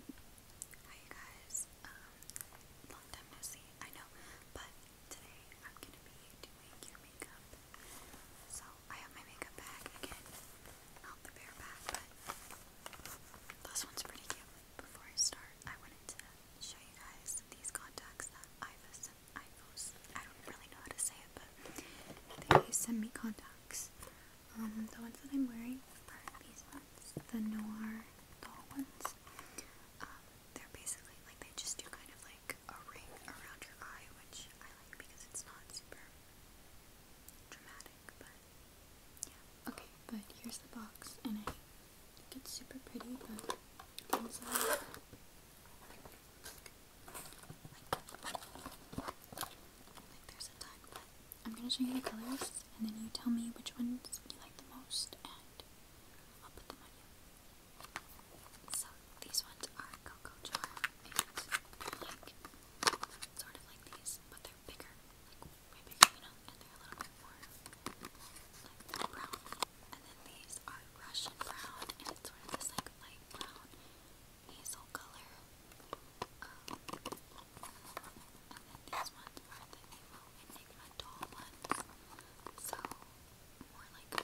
Hi guys, um, long time no see, I know, but today I'm gonna be doing your makeup, so I have my makeup bag again, not the bear bag, but this one's pretty cute. Before I start, I wanted to show you guys these contacts that Ivos I don't really know how to say it, but they send me contacts. Um, the ones that I'm wearing are these ones, the noir doll ones. Um, they're basically like they just do kind of like a ring around your eye, which I like because it's not super dramatic, but yeah. Okay, but here's the box, and I think it's super pretty, but inside. Like, there's a time, but I'm gonna show you the colors and then you tell me which ones you like the most and I'll put them on you. these ones are Cocoa Charm and like sort of like these, but they're bigger, like way bigger, you know, and they're a little bit more like brown. And then these are Russian brown and it's sort of this like light brown hazel color. and then these ones are the Evil Enigma doll ones. So, more like a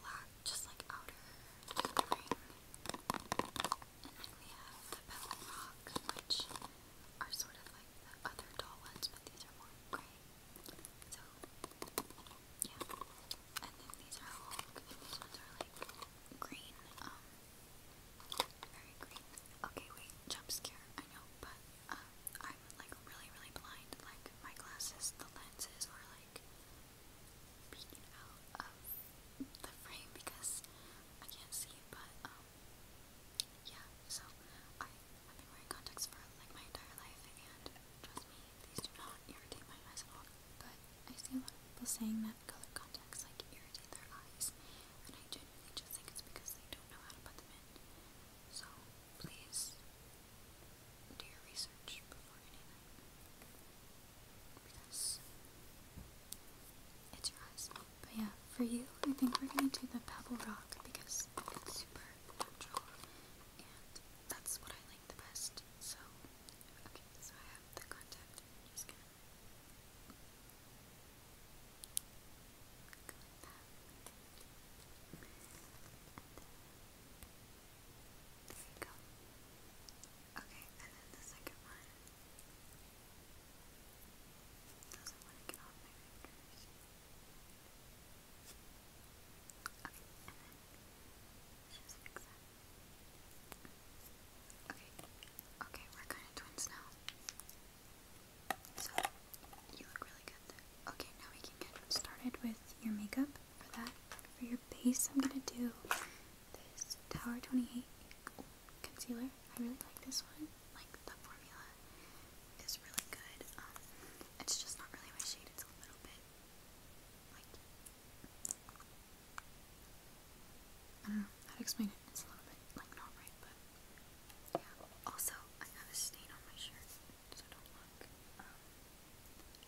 black, just like outer ring. And then we have the Petal Rock, which are sort of like the other doll ones, but these are more gray. So, yeah. And then these are these ones are like green, um, very green. Okay, wait, jump scare, I know, but um, I'm like really, really blind. Like, my glasses, the lenses are like peeking out of the frame because I can't see, but um, yeah, so I, have been wearing contacts for like my entire life, and trust me, these do not irritate my eyes at all. But I see a lot of people saying that that color contacts like irritate their eyes, and I genuinely just think it's because they don't know how to put them in. So please do your research before any of it, because it's your eyes. But yeah, for you, I think we're gonna do the pebble rock because it's super natural, and that's what I like the best. So okay, so I have the contact. I'm just gonna there you go. Okay, and then the second one doesn't want to get off my fingers. Okay, and then just fix that. Okay, okay, we're kind of twins now. So, you look really good. Okay, now we can get started with your makeup. For that, for your base, I'm gonna do this Tower 28 concealer. I really like this one. Like, the formula is really good. Um, it's just not really my shade. It's a little bit, like, I don't know how to explain it. It's a little bit like not right, but yeah. Also, I have a stain on my shirt, so don't look. Um,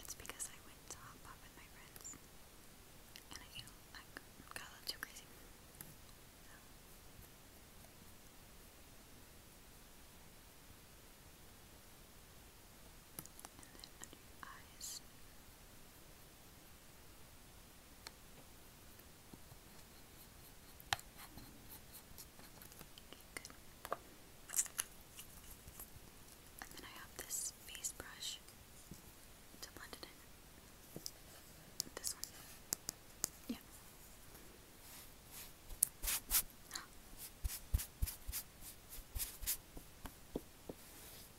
it's because I went to Hot Pot with my friends, and I, you know, I got a little crazy. And then under your eyes. Okay, good. And then I have this face brush to blend it in. This one. Yeah. Okay.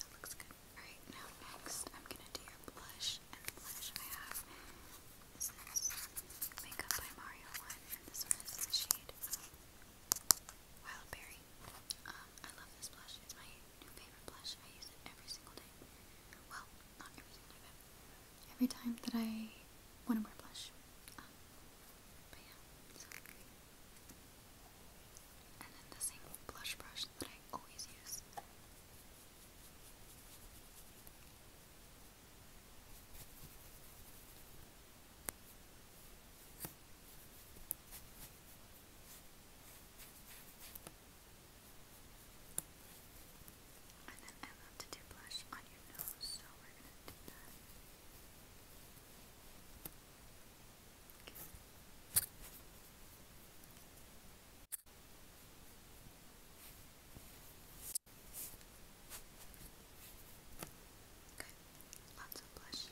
That looks good. Alright, now next I'm gonna do your blush and blush I have this is Makeup by Mario one and this one is in the shade Wild Berry. Um, I love this blush. It's my new favorite blush. I use it every single day. Well, not every single day, but every time that I want to wear blush. Um, but yeah. So. And then the same blush brush that I always use. And then I love to do blush on your nose, so we're gonna do that. Okay. Lots of blush.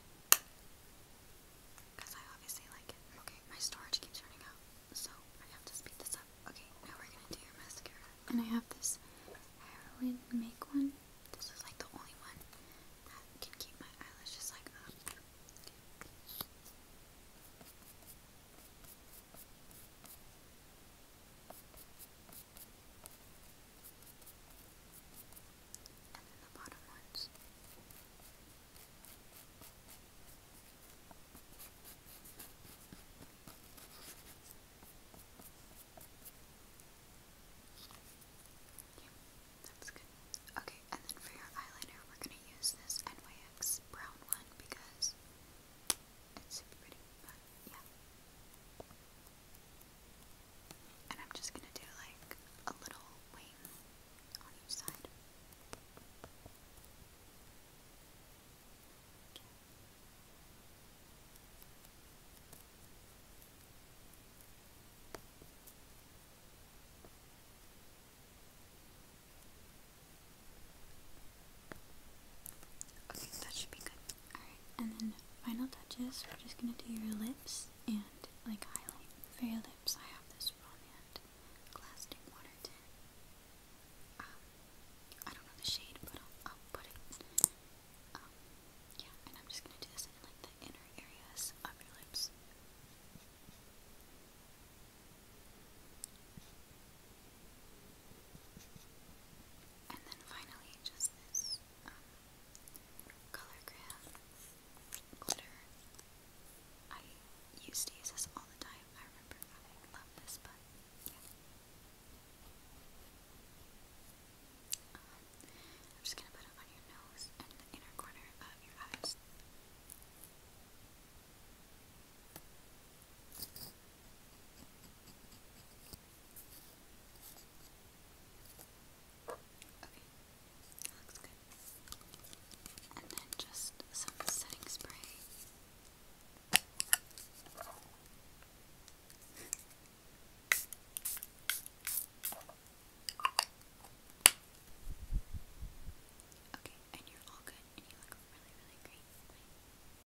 Because I obviously like it. Okay, my storage keeps running out, so I have to speed this up. Okay, now we're gonna do your mascara. And I have this heroin make one. This is like the only one that can keep my eyelashes like up. Okay, and then for your eyeliner, we're gonna use this NYX brown one because it's pretty and I'm just gonna do like a little wing on each side. Okay, that should be good. Alright, and then final touches, we're just gonna do your lips and like highlight. For your lips, I have this Romand Plastic Water Tint. Um, I don't know the shade, but I'll, put it. Um, yeah, and I'm just gonna do this in like the inner areas of your lips. And then finally, just this um, color crayon glitter. I used to use this all the time. I remember I this, but um, I'm just gonna put it on your nose and the inner corner of your eyes. Okay, And then just some setting spray. Okay, and you're all good, and you look really, really great.